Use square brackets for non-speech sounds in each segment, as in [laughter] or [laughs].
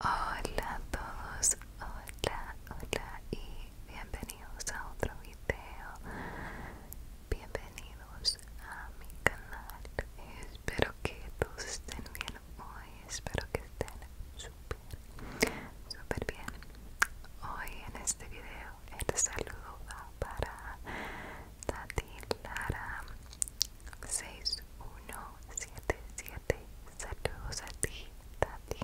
Hola a todos, hola, hola y bienvenidos a otro video. Bienvenidos a mi canal. Espero que todos estén bien hoy, espero que estén súper, súper bien. Hoy en este video el saludo va para Tati Lara 6177 saludos a ti Tati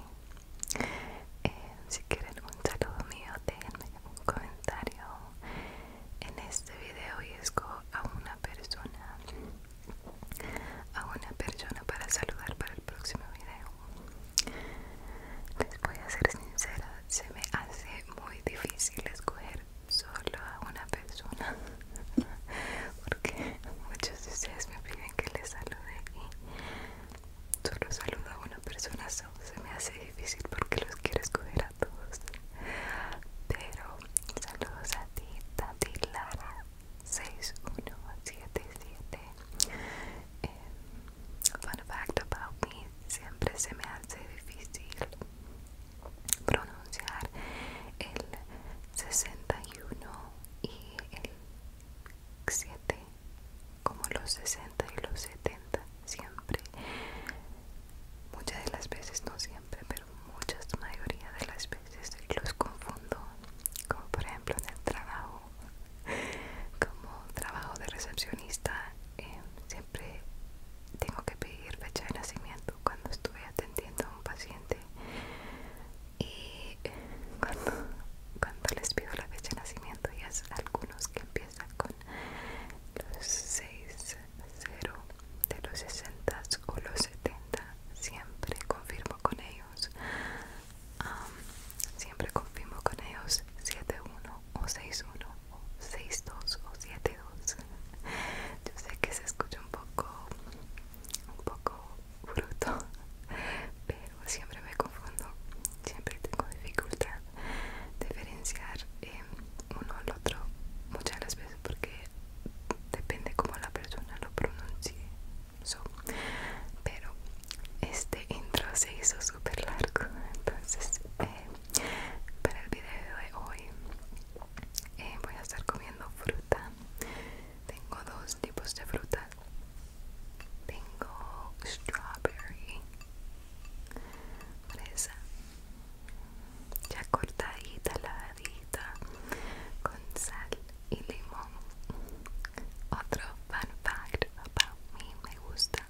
eh, si quieren un saludo mío denme un comentario en este video y escojo a una persona a una persona para saludar para el próximo video les voy a ser sincera se me hace muy difícil escoger solo a una persona [laughs] porque muchos de ustedes me piden que les salude y solo saludo a una persona se me hace difícil porque los quiero escoger a todos pero saludos a ti Tati Lara 6177 eh, fun fact about me siempre se me hace difícil pronunciar el 61 uno y el 7 como los 60 y los 70 siempre muchas de las veces no siempre pero muchas mayoría de las veces los confundo como por ejemplo en el trabajo como trabajo de recepcionista eh, siempre tengo que pedir fecha de nacimiento cuando estuve atendiendo a un paciente y cuando, les pido la fecha de nacimiento y es algunos que empiezan con los 6, de los 60 o los 70 siempre confirmo con ellos siempre confirmo con ellos 7 o 6 o 6 o 7 [laughs] yo sé que se escucha un poco un poco fruto [laughs] pero siempre me confundo, siempre tengo dificultad diferenciar em, uno al otro muchas las veces porque depende como la persona lo pronuncie. pero este intro se hizo súper largo, [laughs] entonces eh, para el video de hoy eh, voy a estar comiendo fruta tengo dos tipos de frutas. Tengo strawberry, fresa, ya cortadita, lavadita, con sal y limón. Otro fun fact about me me gusta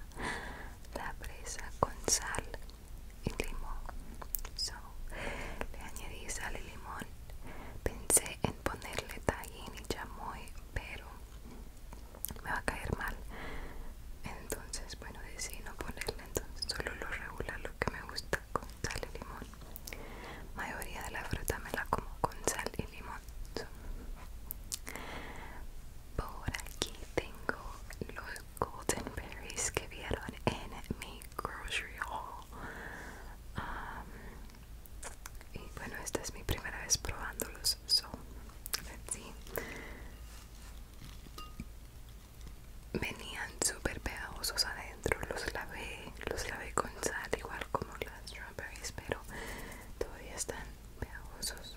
la fresa con sal y limón. le añadí sal y limón. Pensé en ponerle tajín y chamoy, pero me va a caer mal. Entonces, bueno, decidí no ponerle. Entonces, solo lo regular, lo que me gusta con sal y limón. mayoría de la fruta me la como con sal y limón. por aquí tengo los golden berries que vieron en mi grocery haul y bueno esta es mi primera vez probándolos so venían súper pegajosos adentro los lavé los lavé con sal igual como las strawberries pero todavía están pegajosos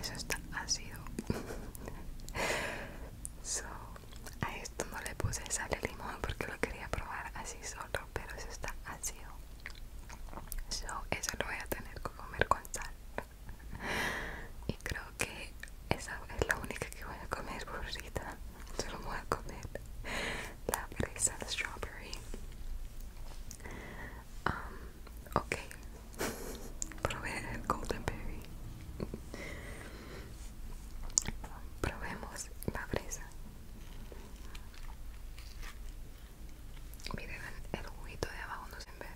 Eso está ácido. [laughs] so, a esto no le puse sal y limón porque lo quería probar así solo, pero eso está ácido. So, eso lo voy a tener que comer con sal. [laughs] y creo que esa es la única que voy a comer por Solo voy a comer la fresa, de strawberry. Um, ok, [laughs] Probé el Golden Berry. Probemos la fresa. Miren el juguito de abajo, no se ve.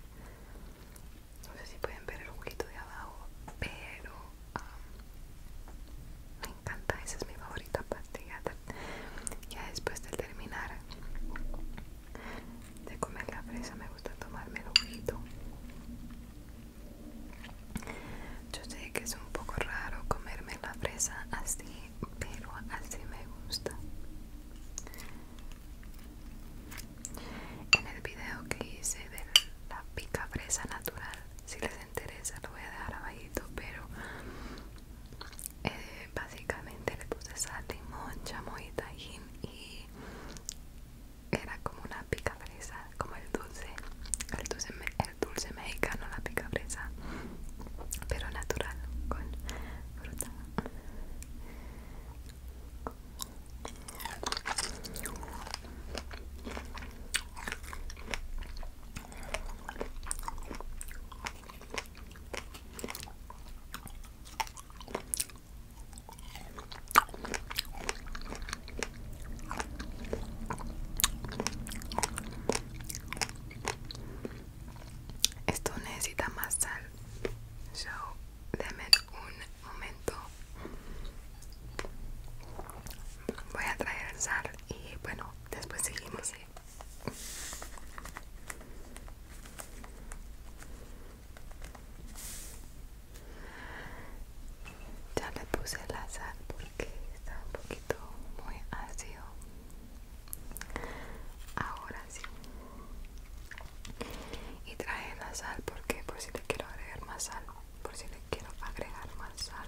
No sé si pueden ver el juguito de abajo, pero um, me encanta. Esa es mi favorita pastilla. Ya después de terminar de comer la fresa me gusta tomarme el ojito yo sé que es un poco raro comerme la fresa así pero así me gusta en el video que hice de la pica fresa natural si les interesa lo voy a dejar abajito pero eh, básicamente le puse sal, limón, chamoy, tajín y era como una pica fresa, como el dulce, el dulce, el dulce mexicano, la pica fresa, pero natural, con fruta. Esto necesita más sal. So, denme un momento. Voy a traer sal y bueno, después seguimos. Ya le puse la sal porque está un poquito muy ácido. Ahora sí. Y trae la sal porque por si le quiero agregar más sal, por si le quiero agregar más sal.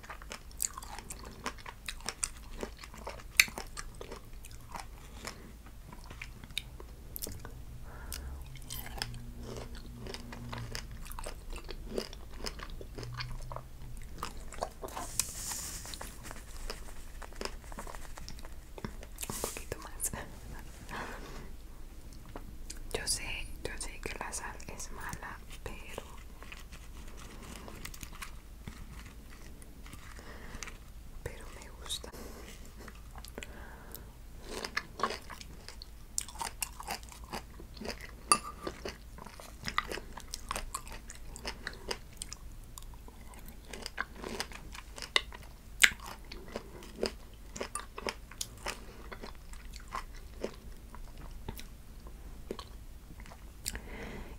Un poquito más. Yo sé, yo sé que la sal es mala, pero pero me gusta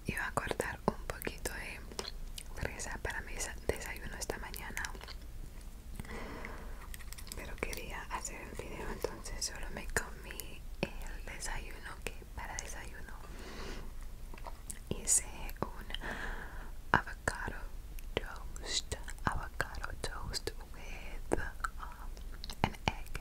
Iba a cortar un poquito de fresa para mi desayuno esta mañana, pero quería hacer un video, entonces solo me comí el desayuno que para desayuno hice un avocado toast, avocado toast with um, an egg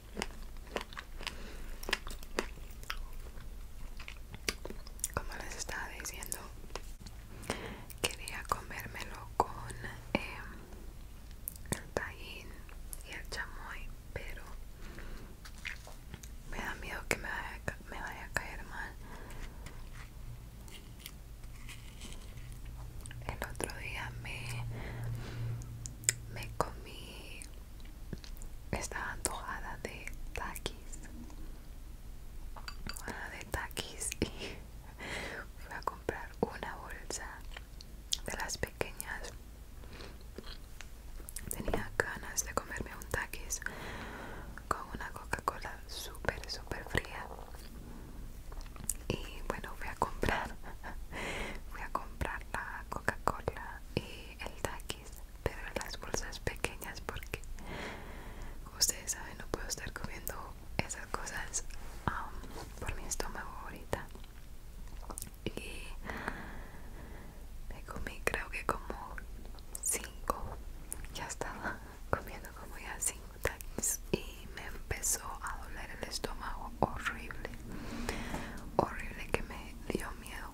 como les estaba diciendo quería comérmelo con em, el tallín y el chamoy pero me da miedo que me vaya a caer mal el otro día me, me comí esta antojada de taquis. Una de taquis y [laughs] fui a comprar una bolsa de las pequeñas. Tenía ganas de comerme un taquis con una Coca-Cola súper, súper fría y bueno voy a comprar voy [laughs] a comprar la Coca-Cola y el Takis pero en las bolsas pequeñas porque ustedes saben no puedo estar comiendo esas cosas um, por mi estómago ahorita y me comí creo que como 5 ya estaba [laughs] comiendo como ya 5 y me empezó a doler el estómago horrible horrible que me dio miedo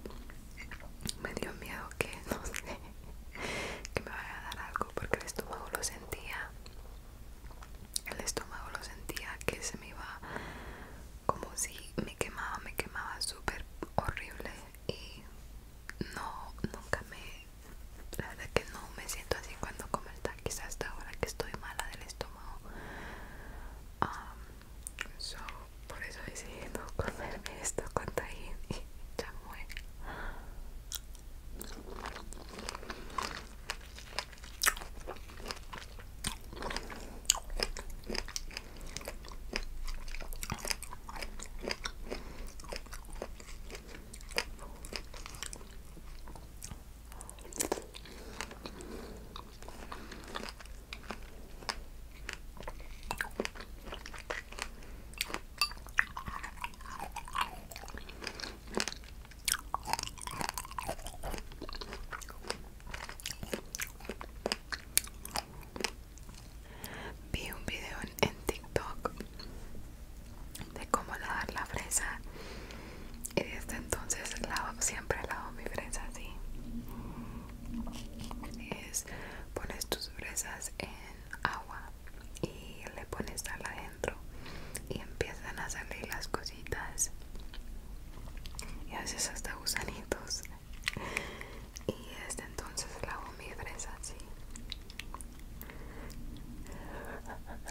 me dio miedo que [laughs] no sé que me vaya a dar algo porque el estómago lo sentía el estómago lo sentía que se me iba como si me quemaba me quemaba súper horrible y no nunca me la verdad que no me siento así cuando como el quizás hasta ahora que estoy mala del estómago so, por eso he decidido comerme esto con tajín y muero. Vi un video en, TikTok de cómo lavar la fresa y desde entonces siempre lavo mi fresa así es pones tus fresas en agua y le pones sal adentro y empiezan a salir las cositas y haces hasta gusanitos y desde entonces lavo mi fresa así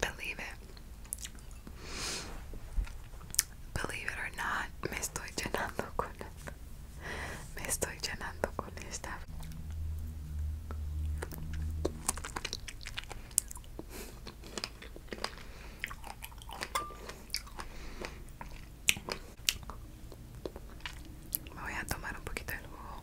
Believe it. Believe it or not, me estoy llenando con me estoy llenando con esta. Me voy a tomar un poquito del jugo.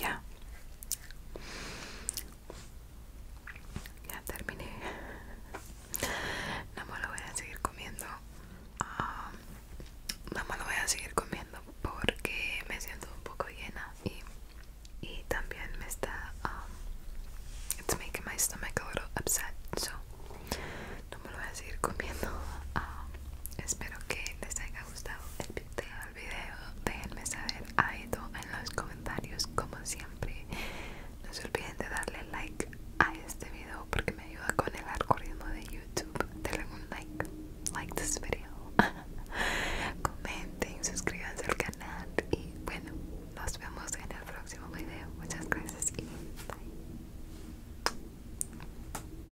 Ya. Ya terminé. No me lo voy a seguir comiendo. No me lo voy a seguir comiendo porque me siento un poco llena y, también me está. it's making my stomach a little upset. So, no me lo voy a seguir comiendo. espero que les haya gustado el vídeo déjenme saber a Ido en los comentarios como siempre no se olviden de darle like a este vídeo porque me ayuda con el algoritmo de youtube denle un like like this video [laughs] comenten suscríbanse al canal y bueno nos vemos en el próximo vídeo muchas gracias y bye